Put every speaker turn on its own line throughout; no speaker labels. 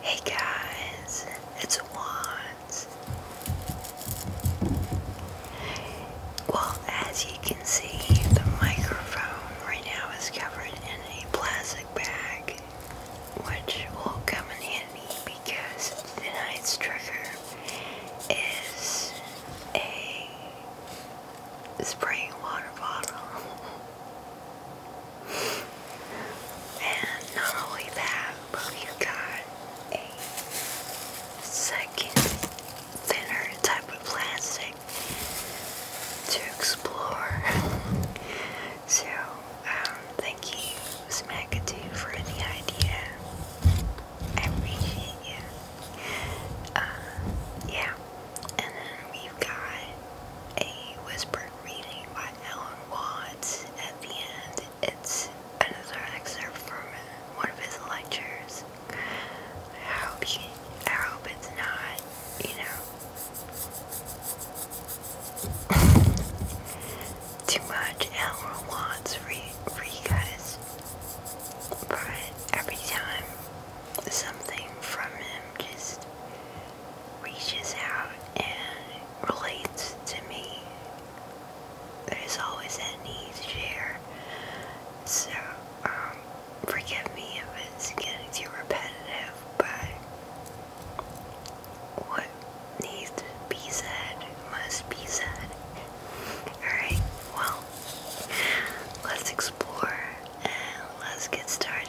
Hey guys, it's Wands. Well, as you can see, the microphone right now is covered in a plastic bag, which will come in handy because tonight's trigger is a spraying water bottle. And not only that, but we got a second thinner type of plastic to explore. so, um, thank you, Smackatoo, for the idea. I appreciate you. Uh, yeah. And then we've got a whispered reading by Alan Watts at the end. It's another excerpt from one of his lectures. I hope you, I hope it's not, you know, too much Alan Watts for you, for you every time something from him just reaches out and relates to me. There's always that need to share. So, um, forgive me if it's getting too repetitive, but what needs to be said must be said. Alright, well, let's explore and let's get started.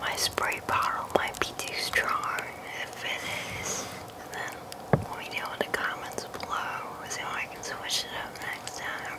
My spray bottle might be too strong. If it is, let me know in the comments below so I can switch it up next time.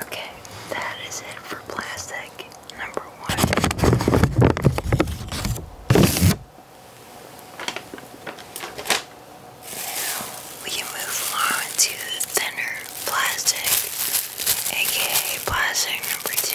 Okay, that is it for plastic number one. Now we move on to thinner plastic, aka plastic number two.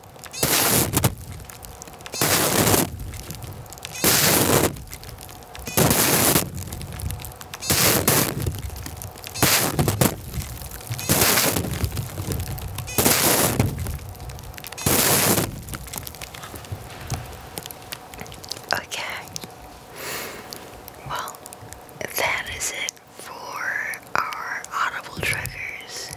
Okay. Well, that is it for our audible triggers.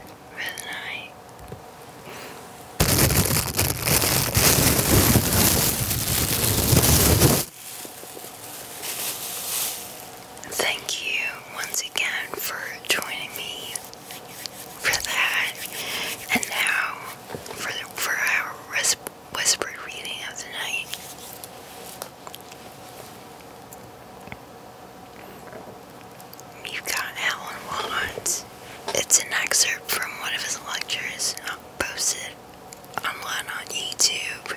Thank you once again for joining me for that. And now for the, for our whisp whispered reading of the night you got Alan Watts. It's an excerpt from one of his lectures not posted online on YouTube.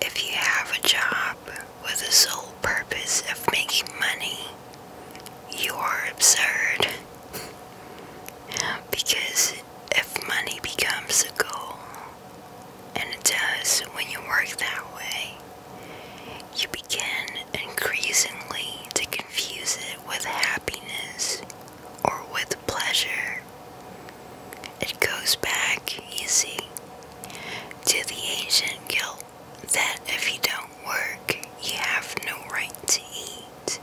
If you have a job with the sole purpose of making money, you are absurd. because if money becomes a goal, and it does when you work that way. You begin increasingly to confuse it with happiness or with pleasure. It goes back, you see, to the ancient guilt that if you don't work, you have no right to eat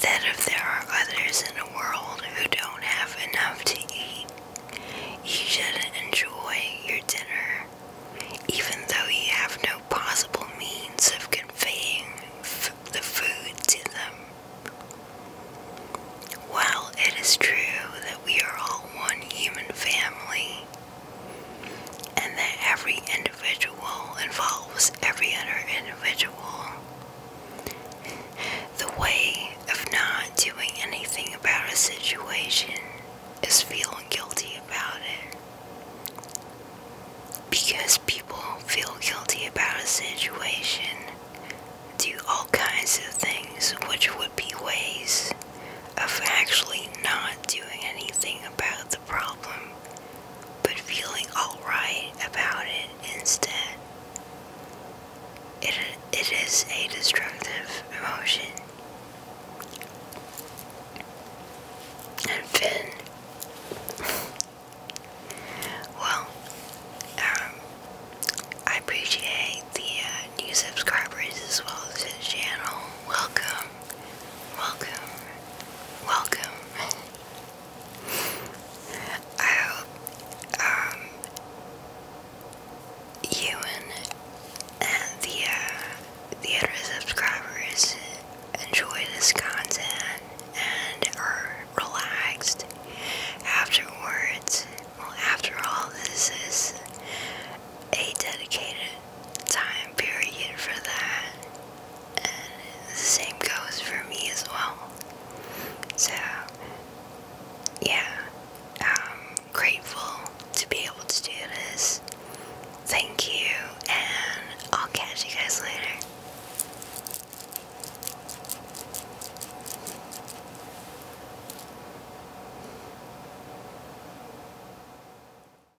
that if there are others in the world who don't have enough to eat, you should enjoy your dinner, even though you have no possible means of conveying the food to them. While it is true that we are all one human family, and that every individual involves every other individual, the way of not doing anything about a situation is feeling guilty about it. Because people feel guilty about a situation, do all kinds of things which would be ways of actually not doing anything about the problem but feeling alright about it instead. It, it is a destructive emotion. And Finn, well, um, I appreciate the uh, new subscribers as well as his channel. Welcome, welcome, welcome. I hope um, you and, uh, the, other subscribers enjoy this content and are relaxed afterwards. Well, after all, this is a dedicated time period for that, and the same goes for me as well. So, yeah, I'm grateful to be able to do this. Thank you, and I'll catch you guys later.